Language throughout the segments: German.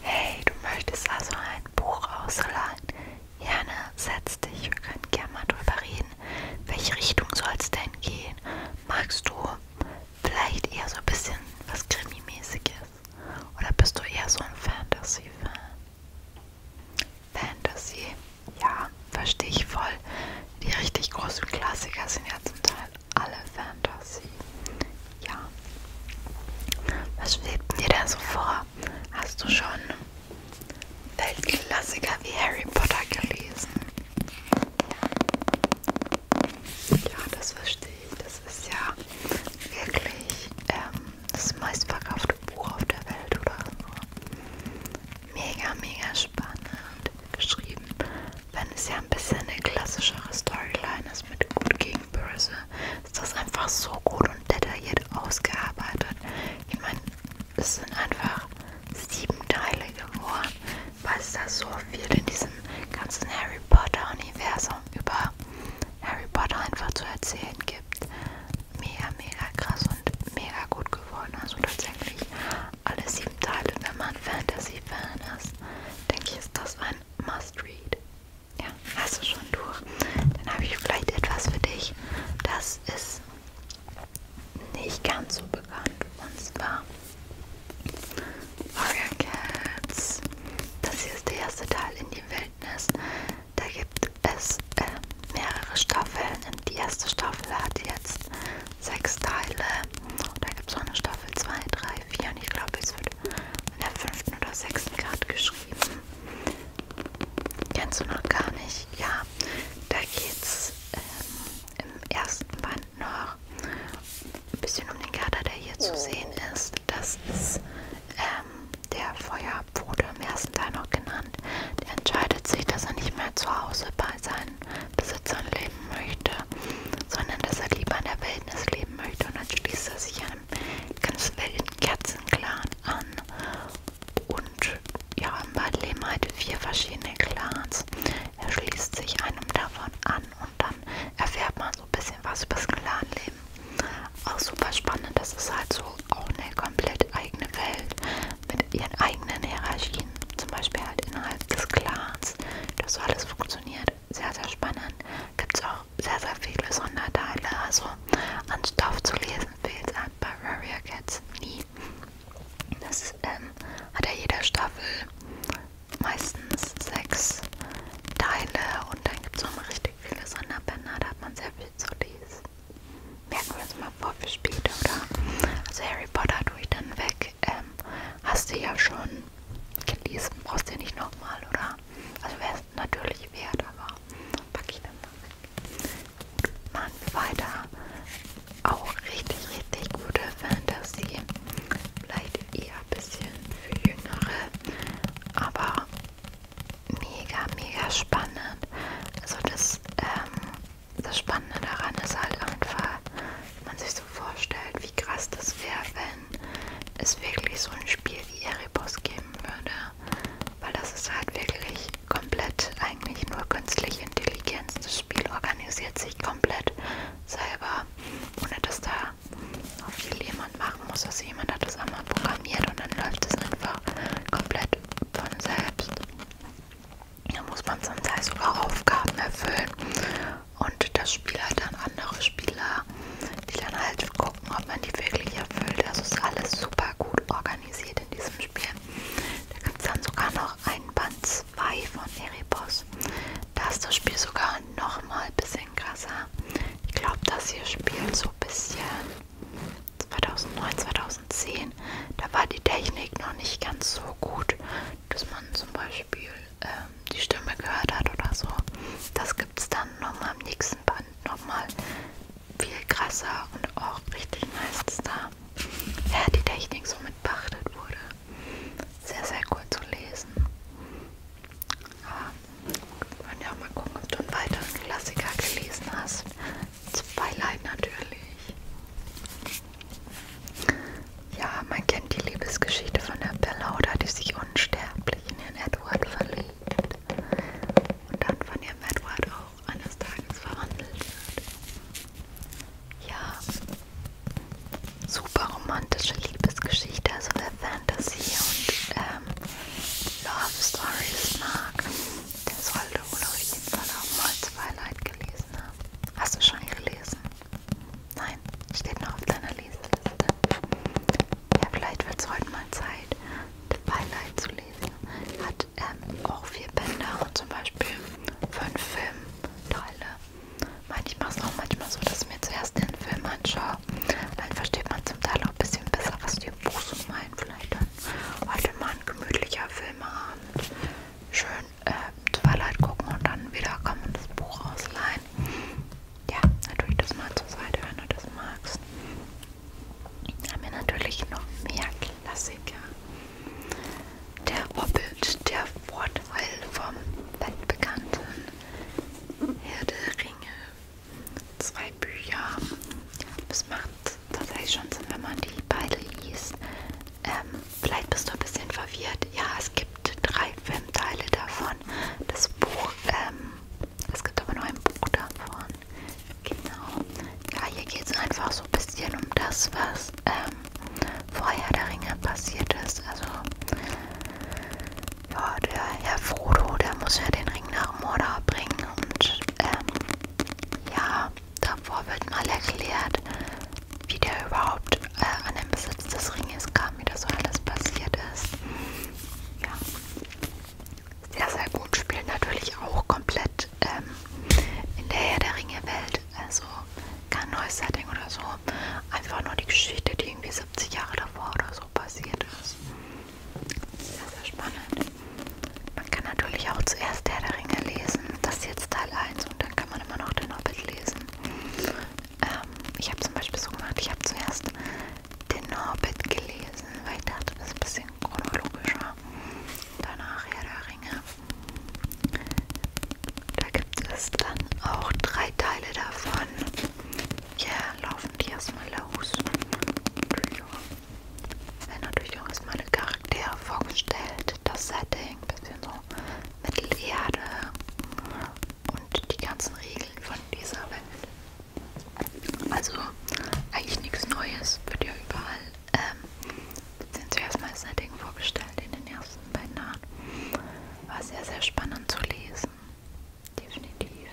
Hey, du möchtest also ein Buch ausleihen? Jana, ne, setz dich, wir können gerne mal drüber reden. Welche Richtung soll es denn gehen? Magst du vielleicht eher so ein bisschen was Krimi-mäßiges? Oder bist du eher so ein Fantasy-Fan? Fantasy, ja, verstehe ich voll. Die richtig großen Klassiker sind ja zum Teil alle Fantasy. Ja. Was schwebt dir denn so vor? Hast du schon Weltklassiker wie Harry Potter gelesen? Ja, das verstehe ich. Das ist ja wirklich ähm, das meistverkaufte Buch auf der Welt oder so. Mega, mega spannend geschrieben wenn es ja ein bisschen eine klassischere Storyline ist mit Gut gegen Böse, ist das einfach so gut und detailliert ausgearbeitet. Ich meine, es sind einfach sieben Teile geworden, weil es da so viel in diesem ganzen Harry Potter-Universum über Harry Potter einfach zu erzählen gibt. Mega, mega krass und mega gut geworden. Also tatsächlich alle sieben Teile, wenn man Fantasy-Fan ist, denke ich, ist das ein ein Must-Read. Ja, hast du schon durch. Dann habe ich vielleicht etwas für dich. Das ist nicht ganz so bekannt. Und zwar Warrior Cats. Das hier ist der erste Teil in die Wildnis. Da gibt es äh, mehrere Staffeln. Die erste Staffel hat jetzt sechs Teile. Da gibt es noch eine Staffel 2, 3, drei, vier und ich glaube, es wird an der fünften oder sechsten Karte geschrieben. Kennst du noch gar nicht? Ja, da geht's ähm, im ersten Band noch ein bisschen um den Kater, der hier zu sehen ist. Das ist ähm, der Feuerpfode im ersten Teil noch genannt. Der entscheidet sich, dass er nicht mehr zu Hause bei seinen Besitzern leben möchte sondern dass er lieber in der Wildnis leben möchte. Und dann schließt er sich einem ganz wilden Kerzenclan an. Und ja, im Wald leben halt vier verschiedene Clans. Er schließt sich einem davon an und dann erfährt man so ein bisschen was über das Clanleben. Auch super spannend, das ist halt so auch eine komplett eigene Welt mit ihren eigenen Hierarchien, zum Beispiel halt innerhalb des Clans, dass so alles funktioniert sehr, sehr spannend. Gibt es auch sehr, sehr viele Sonderteile. Also an Stoff zu lesen fehlt es halt bei Warrior Cats nie. Das ähm, hat ja jede Staffel meistens sechs Teile und dann gibt es auch mal richtig viele Sonderbänder. Da hat man sehr viel zu lesen. Merken wir uns mal vor für später, oder? Also Harry Potter tue ich dann weg. Ähm, hast du ja schon gelesen. Brauchst du ja nicht nochmal, oder? Also wäre es natürlich wert, aber packe ich dann mal weg. Machen wir weiter. Auch richtig, richtig gute Fantasy. Vielleicht eher ein bisschen für Jüngere, aber mega, mega spannend. Also das, ähm, das Spannende daran ist halt einfach, man sich so vorstellt, wie krass das wäre, wenn es wirklich so ein Spiel wie Erebus geben würde. Weil das ist halt wirklich komplett eigentlich nur künstliche Intelligenz. Das Spiel organisiert sich komplett selber, ohne dass da noch viel jemand machen muss. Also jemand hat das einmal programmiert und dann läuft es einfach komplett von selbst. Da muss man zum Teil sogar Aufgaben erfüllen und das Spiel hat dann andere Spieler, die dann halt gucken, ob man die wirklich erfüllt. Also ist alles super gut organisiert in diesem Spiel. Da gibt es dann sogar noch einen Band 2 von Erebos. Da ist das Spiel sogar nochmal ein bisschen krasser. Ich glaube, das hier spielt so ein bisschen 2009, 2010. Da war die Technik noch nicht ganz so gut, dass man zum Beispiel ähm, die Stimme gehört hat oder so. Das gibt es dann nochmal am nächsten Band nochmal viel krasser und auch richtig nice da. Ja, die Technik so mit beachtet wurde. Sehr, sehr cool zu lesen. Wir ähm, können ja auch mal gucken, ob du einen weiteren Klassiker gelesen hast. Twilight natürlich. Ja, man kennt die Liebesgeschichte von der Bella, oder die sich unsterblich in den Edward verliebt und dann von ihrem Edward auch eines Tages verwandelt wird. Ja, super romantische Liebesgeschichte, also wer Fantasy und ähm, Love Stories mag, der sollte wohl auf jeden Fall auch mal Twilight gelesen haben. Hast du schon gelesen? Nein, steht noch auf deiner Leseliste. Ja, vielleicht wird es heute mal Zeit, Twilight zu lesen. Hat ähm, auch vier Bänder und zum Beispiel fünf Filmteile. Ich mache es auch manchmal so, dass ich mir zuerst den Film anschaue. Dann versteht man zum Teil auch ein bisschen besser, was die im Buch so meinen. Vielleicht dann heute mal ein gemütlicher Filmabend. Schön äh, Twilight gucken und dann wieder kommen und das Buch ausleihen. Ja, natürlich das mal zur Seite, wenn du das magst. Haben wir natürlich noch mehr Klassiker. Der Hobbit, der Vorteil vom weltbekannten Herr der Ringe. Zwei Bücher. Das macht tatsächlich schon Sinn, wenn man die beide liest. Ähm, vielleicht bist du ein bisschen verwirrt. Ja, es gibt drei Filmteile davon. Das Buch, ähm, es gibt aber nur ein Buch davon. Genau. Ja, hier geht es einfach so ein bisschen um das, was ähm, vorher der Ringe passiert ist. Also, ja, der Herr Frodo, der muss ja den Ring nach Mordor bringen und, ähm, ja, davor wird mal erklärt, wie der überhaupt äh, an den Besitz des Ringes kam, wie das so alles passiert ist. Ja. Sehr, sehr gut. Spielt natürlich auch komplett ähm, in der Herr der Ringe-Welt. Also kein neues Setting oder so. Einfach nur die Geschichte, die irgendwie 70 Jahre davor oder so passiert ist. Sehr, sehr spannend. Man kann natürlich auch zuerst Herr der Ringe lesen. Das ist jetzt Teil 1 ist und dann kann man immer noch den Hobbit lesen. Ähm, ich habe zum Beispiel so gemacht, ich habe zuerst den Hobbit gelesen, weil ich dachte, das ist ein bisschen chronologischer. Danach Herr der Ringe. Da gibt es dann auch drei Teile davon. Ja, yeah, laufen die erstmal los. Wenn natürlich auch erstmal Charaktere vorgestellt, das hätte Setting, bisschen so Mittelerde und die ganzen Regeln von dieser Welt. Also eigentlich nichts Neues, wird ja überall. Ähm, sind zuerst mal das Setting vorgestellt in den ersten beiden Jahren. War sehr, sehr spannend zu lesen. Definitiv.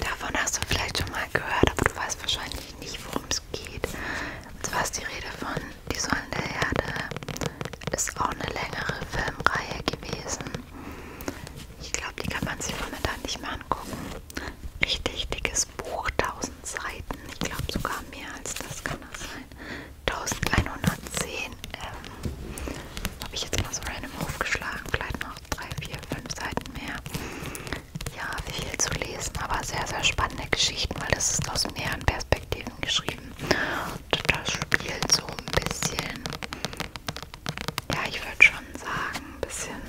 Davon hast du vielleicht schon mal gehört, aber du weißt wahrscheinlich nicht, worum es geht. Und zwar ist die Rede von Die Säulen der Erde. Ist auch eine längere Filmreihe gewesen. Ich glaube, die kann man sich momentan nicht mehr angucken. Richtig dickes Buch, 1000 Seiten. Ich glaube sogar mehr als das kann das sein. 1110. Ähm, Habe ich jetzt mal so random aufgeschlagen. Vielleicht noch 3, 4, 5 Seiten mehr ja, viel zu lesen, aber sehr, sehr spannende Geschichten, weil das ist aus mehreren Perspektiven geschrieben. Und das spielt so ein bisschen, ja, ich würde schon sagen, ein bisschen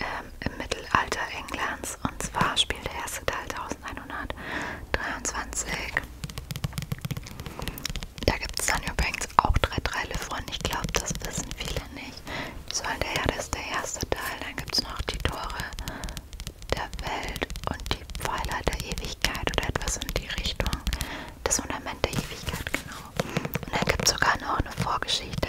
ähm, im Mittelalter Englands. Und zwar spielt der erste Teil 1123. Da gibt es dann übrigens auch drei Teile von. Ich glaube, das wissen viele nicht soll der Erde ist der erste Teil. Dann gibt es noch die Tore der Welt und die Pfeiler der Ewigkeit oder etwas in die Richtung. Das Fundament der Ewigkeit, genau. Und dann gibt es sogar noch eine Vorgeschichte.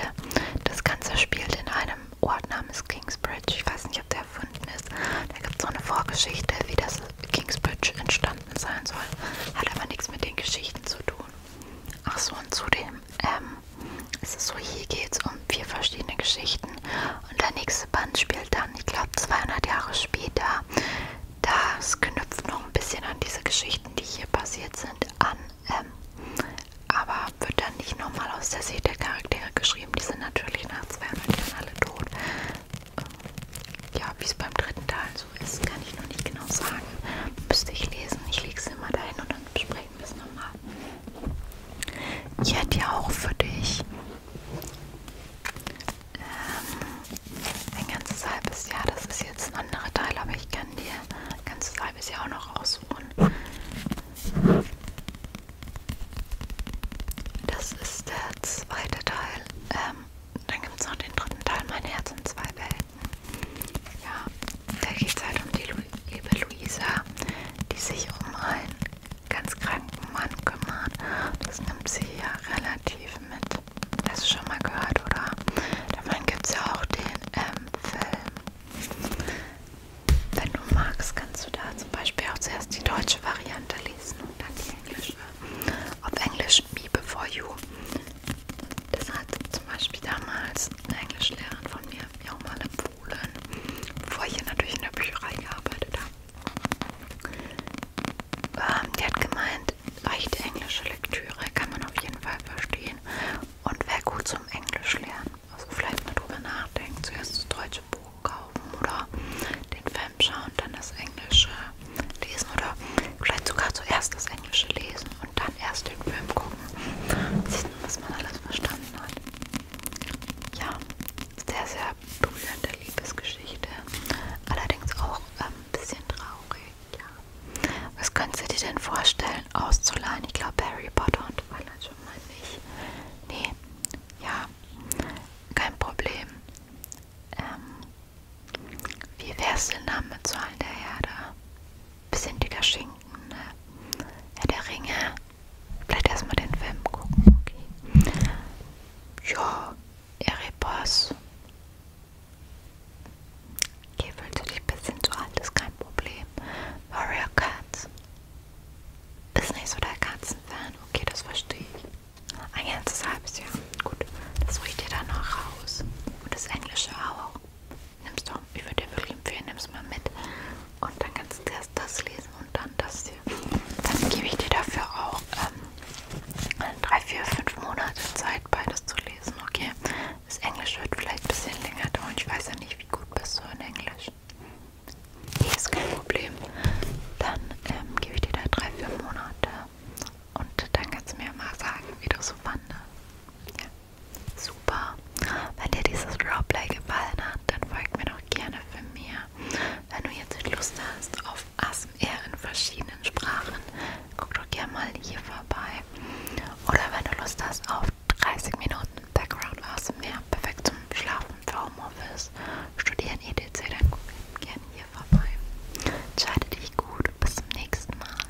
Das Ganze spielt in einem Ort namens Kingsbridge. Ich weiß nicht, ob der erfunden ist. Da gibt es so eine Vorgeschichte, wie das Kingsbridge entstanden sein soll. Hat aber nichts mit den Geschichten zu tun. Ach so, und zu dem ähm, es ist so, hier geht es um vier verschiedene Geschichten. Und der nächste Band spielt dann, ich glaube, 200 Jahre später. Das knüpft noch ein bisschen an diese Geschichten, die hier passiert sind, an. Ähm, aber wird dann nicht nochmal aus der Sicht der Charaktere geschrieben. Die sind natürlich nach 200 Jahren alle tot. Ähm, ja, wie es beim dritten Teil so ist, kann ich noch nicht genau sagen. Müsste ich lesen. Ich lege es immer dahin und dann bespreche Bringen wir es nochmal. Ich hätte ja auch für dich ähm, ein ganzes halbes Jahr. Das ist jetzt ein anderer Teil, aber ich kann dir ein ganzes halbes Jahr auch noch aussuchen. Das ist der zweite Teil. Ähm, dann gibt es noch den dritten Teil, Mein Herz in zwei Welten. Ja, da geht es halt um die Lu liebe Luisa, die sich um einen ganz kranken Mann kümmert. Das nimmt sie ja relativ mit. Hast du schon mal gehört, oder? Davon gibt es ja auch den ähm, Film. Wenn du magst, kannst du da zum Beispiel auch zuerst die deutsche Variante lesen und dann die englische. Auf Englisch Me Before You. Das hat zum Beispiel damals eine Englischlehrerin von mir hat mir auch mal empfohlen, bevor ich hier natürlich in der Bücherei gearbeitet habe. Ähm, die hat gemeint, leichte englische Lektüre kann man auf jeden Fall verstehen und wäre gut zum Englisch lernen. Also vielleicht mal drüber nachdenken, zuerst das deutsche Buch kaufen oder den Film schauen, dann das englische lesen oder vielleicht sogar zuerst das englische lesen und dann erst den Film gucken. Sich was man alles verstanden hat. Ja, sehr, sehr berührende Liebesgeschichte. Allerdings auch ein ähm, bisschen traurig, ja. Was könntest du dir denn vorstellen, auszuleihen? Ich glaube, Harry Potter und Twilight schon mal nicht. Nee, ja, kein Problem. Ähm, wie wär's denn dann mit Zahlen der Erde? bisschen dicker Schinken, ne? Ja, der Ringe. Vielleicht erstmal den Film gucken, okay. Ja, Erebos. Hier fühlst du dich ein bisschen zu alt, ist kein Problem. Warrior Cats. Ist nicht so der Katzenfan. Okay, das verstehe ich. Ein ganzes halbes Jahr. Gut, das riecht dir dann noch raus. Und das Englische auch. Nimmst du, ich würde dir wirklich empfehlen, nimm's mal mit. Und dann kannst du erst das lesen und dann das hier. Dann gebe ich dir dafür auch ähm, drei, vier, fünf Monate Zeit, beides zu lesen, okay? Das Englisch wird vielleicht ein bisschen länger dauern. Ich weiß ja nicht, wie gut bist du in Englisch. Nee, ist kein Problem. Dann ähm, gebe ich dir da drei, vier Monate. Und dann kannst du mir mal sagen, wie du so fandest. Ja. Super. Wenn dir dieses Roleplay gefallen hat, dann folg mir doch gerne für mir. Wenn du jetzt Lust hast auf ASMR in verschiedenen Sprachen, guck doch gerne mal hier vorbei. Oder wenn du Lust hast auf 30 Minuten Background ASMR, perfekt zum Schlafen für Homeoffice, Studieren etc., dann guck gerne hier vorbei. Entscheide dich gut. Bis zum nächsten Mal.